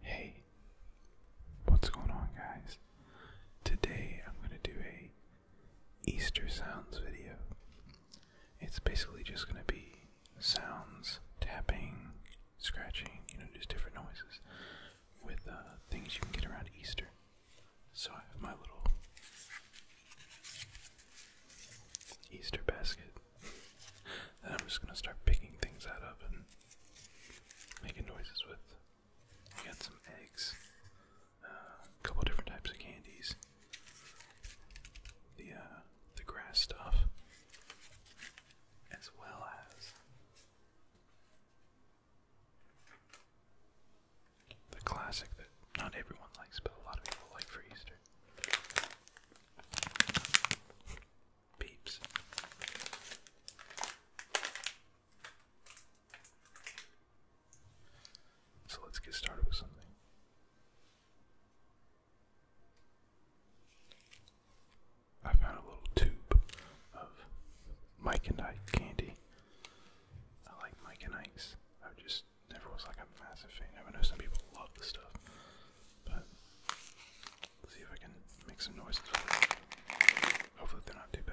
Hey, what's going on, guys? Today I'm going to do a Easter sounds video. It's basically just going to be sounds, tapping, scratching, you know, just different noises with uh, things you can get around Easter. So I have my little Easter basket and I'm just going to start picking things out of it making noises with. We got some eggs, uh, a couple different types of candies, the uh, the grass stuff, as well as the classic that not everyone likes, but a lot of people like for Easter peeps. So let's get started with something. I found a little tube of Mike and Ike candy. I like Mike and Ike's. I just never was like a massive fan. I know some people love the stuff. But let's see if I can make some noise. Hopefully they're not too bad.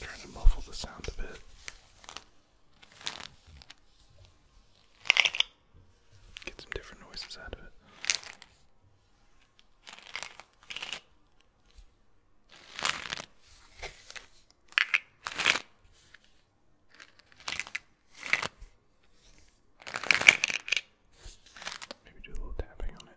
Trying to muffle the sound a bit. Get some different noises out of it. Maybe do a little tapping on it.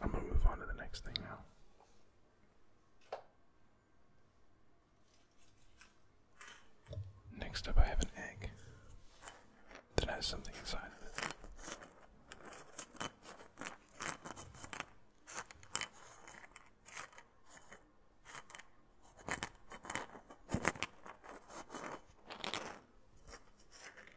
I'm gonna move on to the next thing now. Next up, I have an egg that has something inside of it.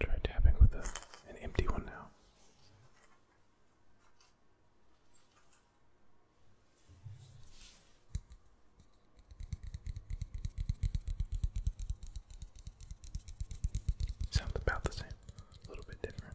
try tapping with an empty one now. Sounds about the same, a little bit different.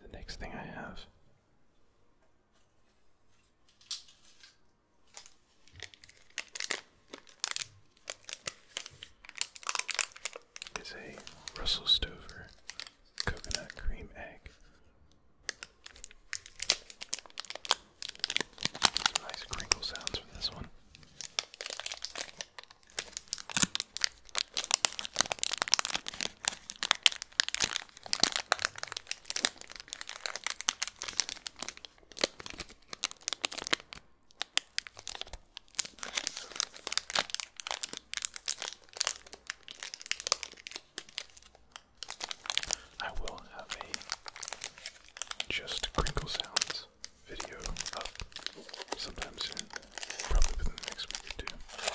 the next thing I have. Is a Russell Stover coconut cream egg. nice crinkle sounds from this one. I will have a just crinkle sounds video up sometime soon, probably within the next week or two.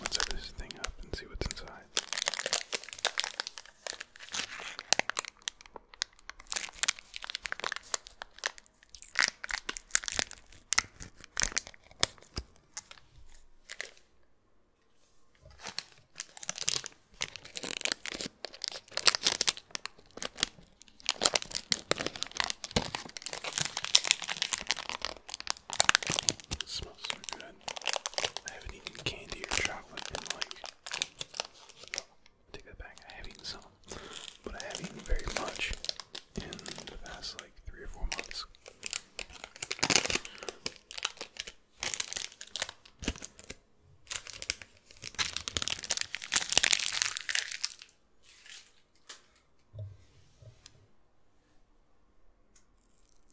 Let's open this thing up and see what's inside. It smells so good. I haven't eaten candy or chocolate in like. Take that back. I have eaten some, but I haven't eaten very much in the past like three or four months.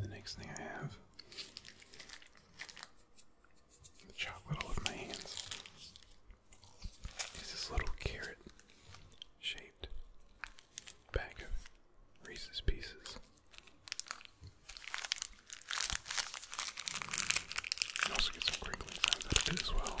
The next thing I have the chocolate all of my hands is this little carrot shaped bag of Reese's pieces. You also get some crinkling sounds out of it as well.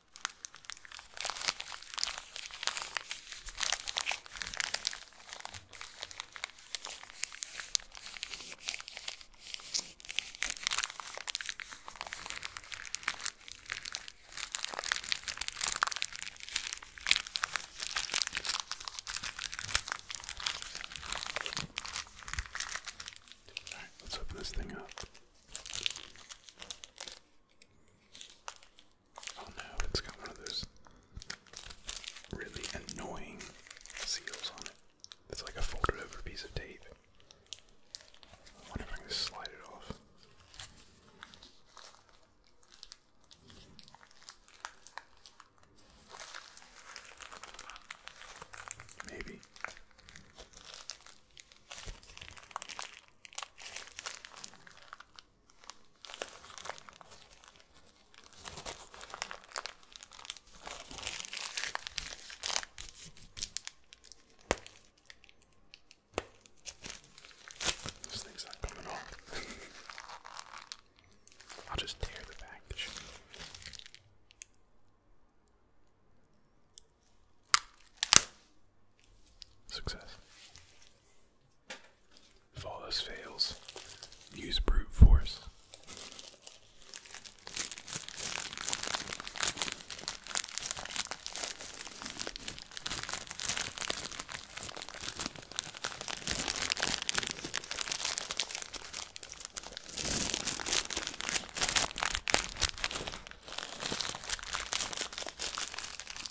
Alright, let's open this thing up. Oh no, it's got one of those really annoying seals on it. It's like a folded over piece of tape. wonder if I can slide it off. Maybe. This thing's not coming off. I'll just tear the package. Success. If all this fails, use brute force.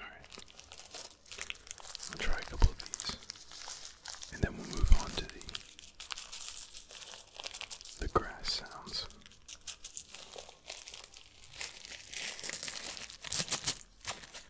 Alright. I'll try a couple of these. And then we'll move on to the the grass sounds.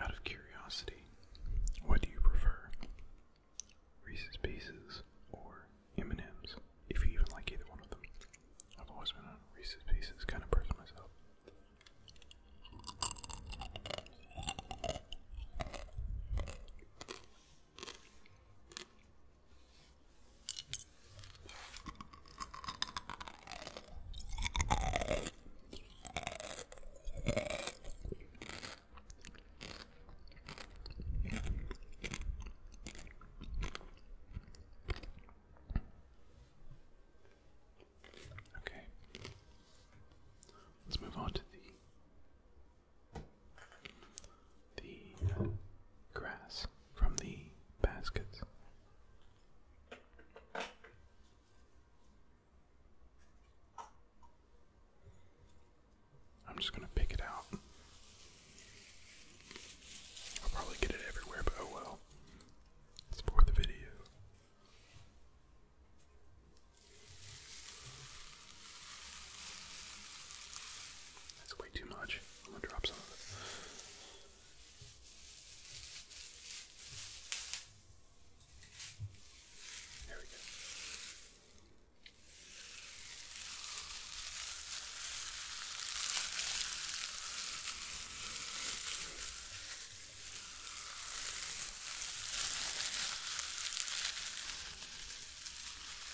Out of curiosity, what do you prefer? Reese's Pieces or M&M's, if you even like either one of them. I've always been a Reese's Pieces kind of person myself. Okay. Let's move on to the the um, grass from the baskets. I'm just going to pick it out. I'll probably get it everywhere, but oh well. It's for the video. That's way too much. I'm gonna drop some of it. There we go.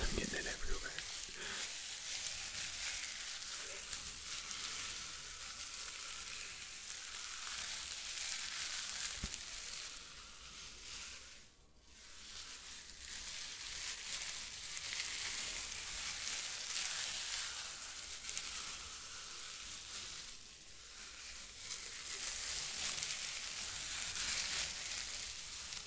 I'm getting it everywhere.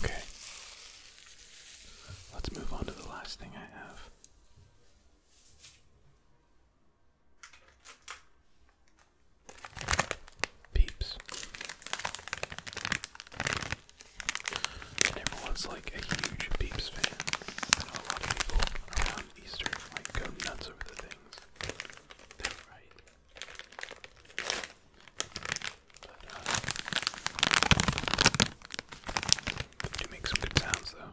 Okay. Let's move on to the last thing I have. Peeps. And everyone's like a huge Peeps fan. I a lot of people around Easter like go nuts over the things. they right. But, uh, do make some good sounds though.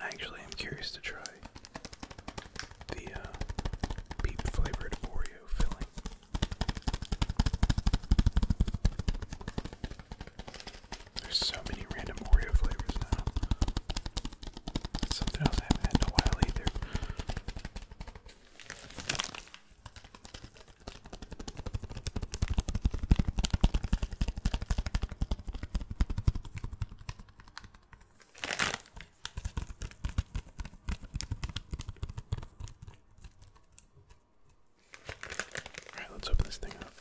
I Actually, am curious to try the uh, flavored Oreo filling. There's so many random Oreo flavors now. something else I haven't had in a while either. Alright, let's open this thing up.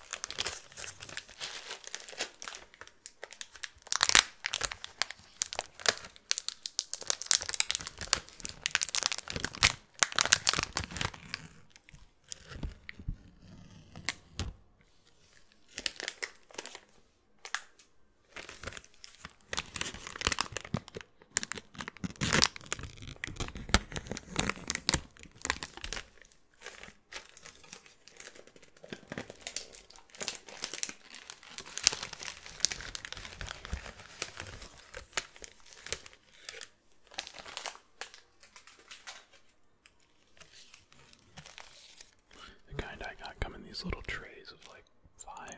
The kind I got come in these little trays of like five,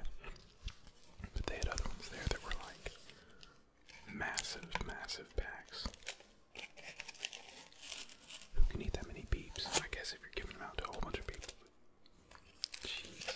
but they had other ones there that were like massive, massive packs. Who can eat that many peeps? I guess if you're giving them out to a whole bunch of people. Jeez.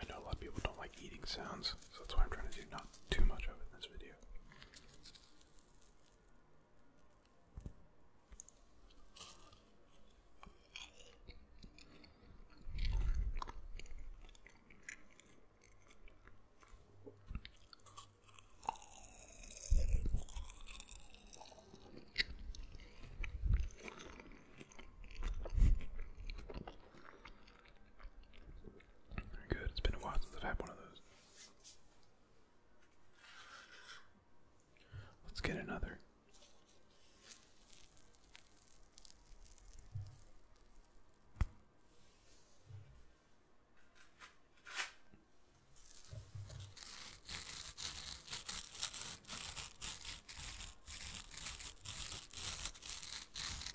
I know a lot of people don't like eating sounds, so that's why I'm trying to do not too much of it in this video. Good, it's been a while since I've had one of those. Let's get another.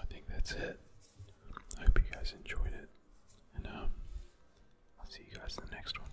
I think that's it. I hope you guys enjoyed it, and um, I'll see you guys in the next one.